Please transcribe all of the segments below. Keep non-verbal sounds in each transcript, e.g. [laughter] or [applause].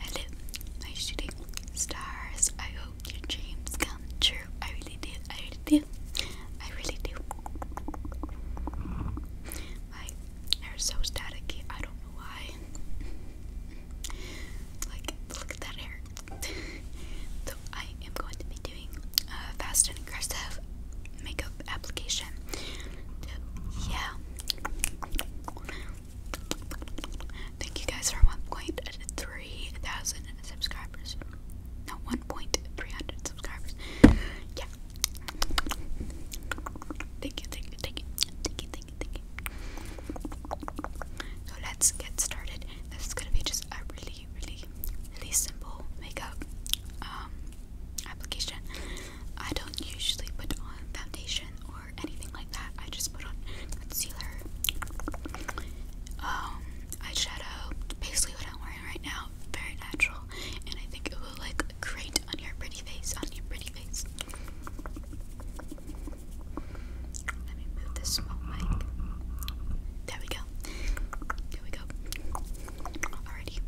Hello, my shooting stars. I hope your dreams come true. I really do. I really do. I really do. My hair's so staticky. I don't know why. Like, look at that hair. [laughs] so I am going to be doing a fast and aggressive makeup application. So, yeah. Thank you guys for one point three thousand subscribers. No, 1.300 subscribers. Yeah. So let's get started. This is gonna be just a really, really, really simple makeup um, application. I don't usually put on foundation or anything like that. I just put on concealer, um, eyeshadow, basically what I'm wearing right now, very natural, and I think it will like great on your pretty face, on your pretty face. Let me move this small mic. There we go. There we go. Alrighty.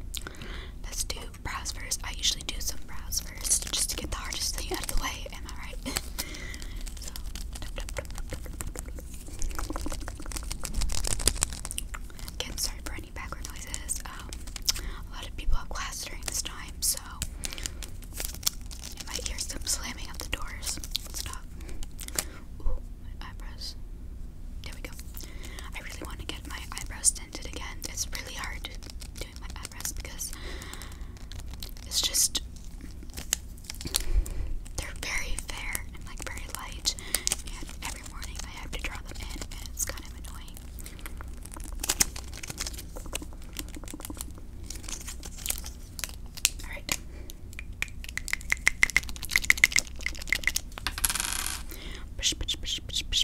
Let's do brows first. I usually do some brows first just to get the hardest thing out of the way. Am I right? [laughs] so. Again, sorry for any background noises. Um, a lot of people have class during this time, so you might hear some slamming of the doors. Stop. my eyebrows. There we go. I really want to get my eyebrows done it again. It's really hard doing my address because it's just they're very fair and like very light, and every morning I have to draw them in, and it's kind of annoying. All right. Push, push, push, push, push,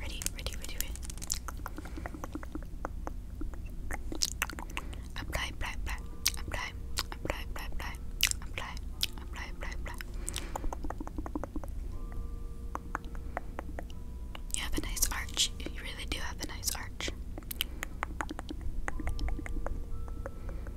Ready, ready, ready, ready. Apply, apply, apply, apply, apply, apply, apply, apply, apply, You have a nice arch. You really do have a nice arch.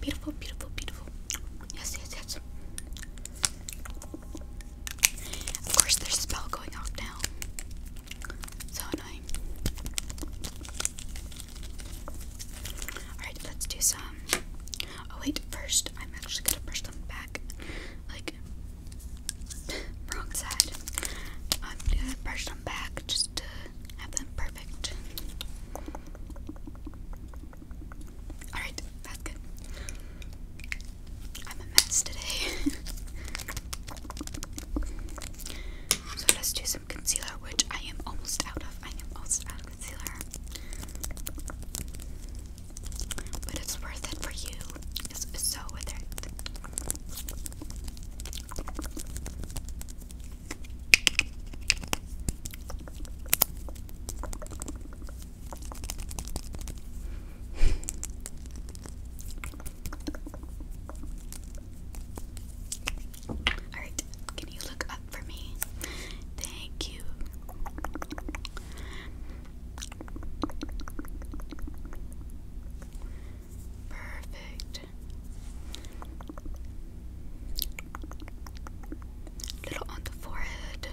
Beautiful, beautiful, beautiful. Yes, yes, yes. Of course, there's a spell going off now. So annoying. Alright, let's do some. Oh, wait, first, I'm actually gonna brush them back. Like, [laughs] wrong side. I'm gonna brush them back just to have them perfect. Alright, that's good. I'm a mess today. [laughs] so let's do some concealer, which I am almost out of. I am almost out of concealer. But it's worth it for you. It's, so worth it. Alright, can you look up for me? Thank you. Perfect. Little on the forehead.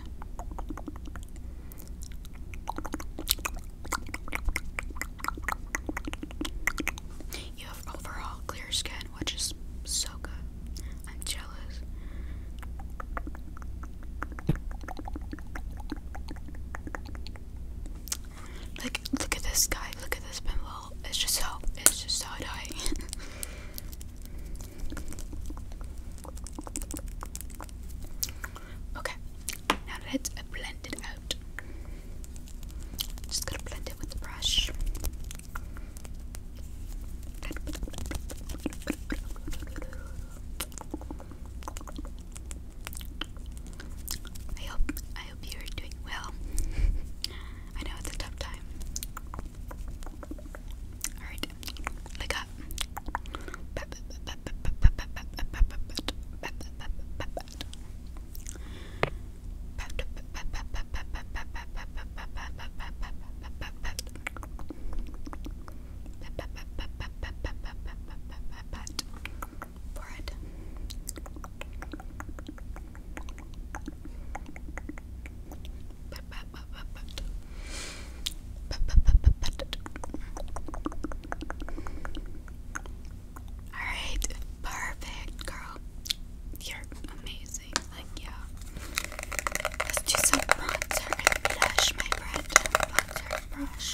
You have overall clear skin, which is so good. I'm jealous. Look, look at this guy. Look at this pinball. It's just so, it's just so annoying. [laughs] okay, now let's blend it out. Just gonna blend it with the brush. I hope I hope you're doing well. [laughs] I know it's a tough time. Alright, look up. [laughs] for it. Alright, perfect, girl. You're amazing. Like, yeah. Let's do some bronzer and blush, my friend. Bronzer brush.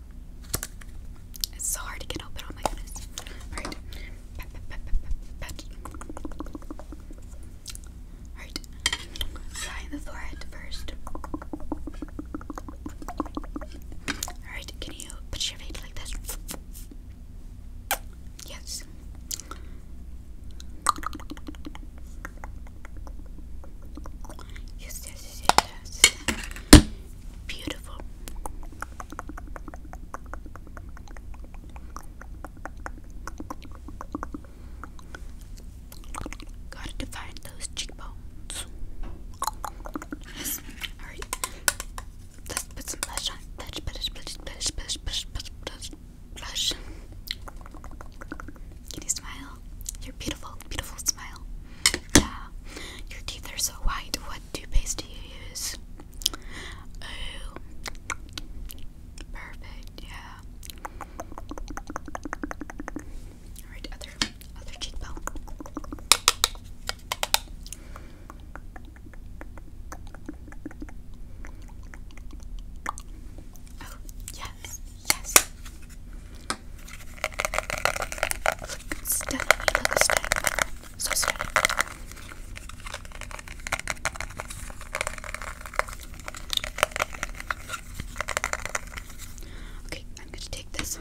It's so hard to get open, on oh my goodness. Alright. Alright. Apply the forehead first. Alright, can you put your face like this? Yes, yes, yes, yes, yes. Beautiful. Gotta define those cheekbones. Alright. Let's put some blush on. Blush, blush, blush, blush, blush, blush, blush, blush, blush. Can you smile? Your beautiful, beautiful smile. Yeah, your teeth are so white. What toothpaste do you use? Oh, perfect. Yeah. All right, other other cheekbone. Oh yes, yes. It's definitely like a stack. So steady. Okay, I'm going to take this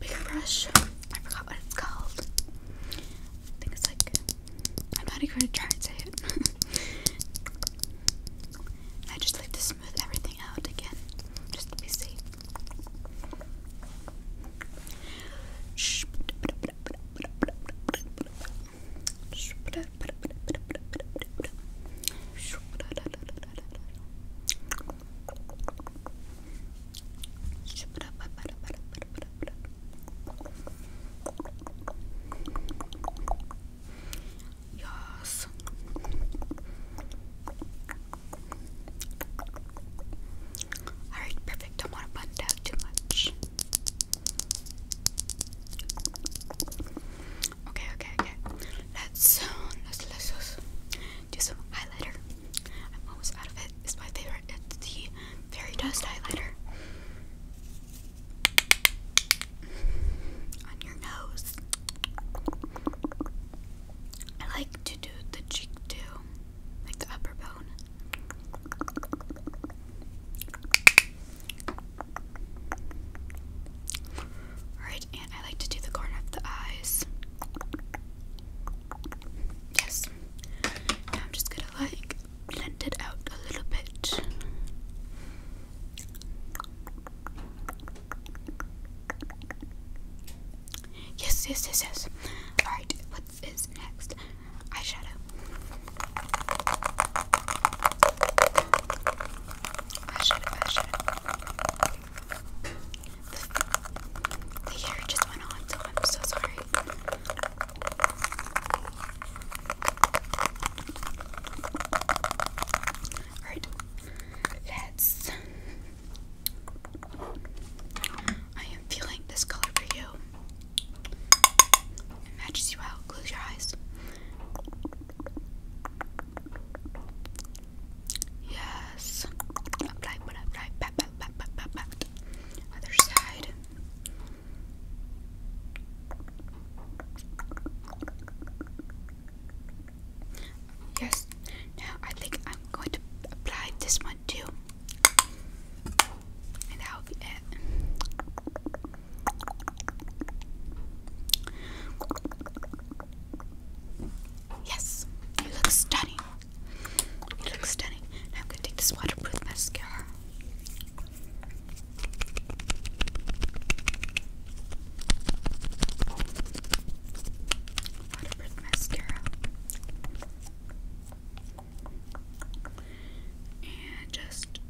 big brush. I forgot what it's called. I think it's like, I'm not even going to try and say it. [laughs] I just like to smooth everything out again, just to be safe. Yes. Alright, perfect. Don't want to bund out too much. Okay, okay, okay. let's let's, let's do some highlighter. I'm almost out of it. It's my favorite. It's the Fairy Dust highlighter on your nose. I like to do the cheek too, like the upper bone. Alright, and I like to do the corner of the eyes. Yes. Now I'm just gonna like blend it out a little bit. Yes, yes, yes, yes. Alright, what is next? Eyeshadow. Eyeshadow, eyeshadow. The, the just went on, so I'm so sorry. Alright, let's. I am feeling this color for you. It matches you out. Close your eyes. Yes. Apply, apply. Pat, pat, pat, pat, pat, pat. Other side. Yes, now I think I'm going to apply this one too. And that'll be it. Yes, it looks stunning. It looks stunning. Now I'm going to take this waterproof mascara. Waterproof mascara. And just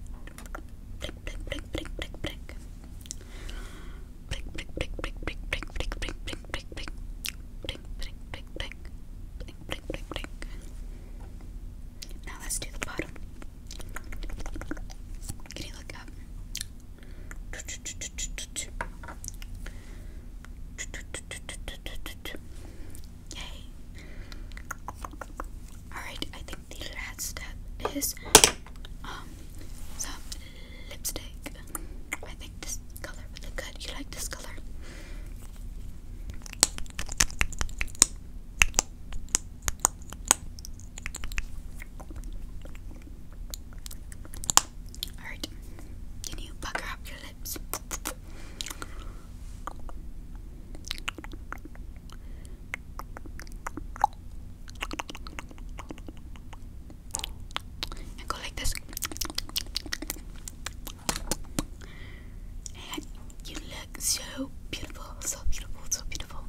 blick, blick, blick, blick, blick, blick. Blick, blick, blick, blick, blick, blick, blick, blick, blick, blick, blick, blick, blick, blick, blick, blick, blick, blick. Now let's do the bottom. Can you look up? Yay. Alright, I think the last step is um some lipstick. I think this color would look good. You like this color? Alright, can you pucker up your lips? And go like this and you look so beautiful, so beautiful, so beautiful.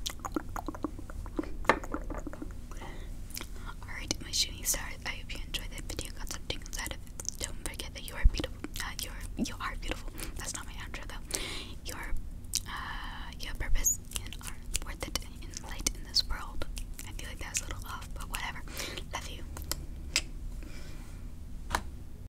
Alright, my shooting stars, I hope you enjoyed that video, got something inside of it. Don't forget that you are beautiful. Uh, you're you are beautiful. That's not my outro though. Your uh your purpose and are worth it in light in this world. I feel like that's a little off, but whatever. Love you.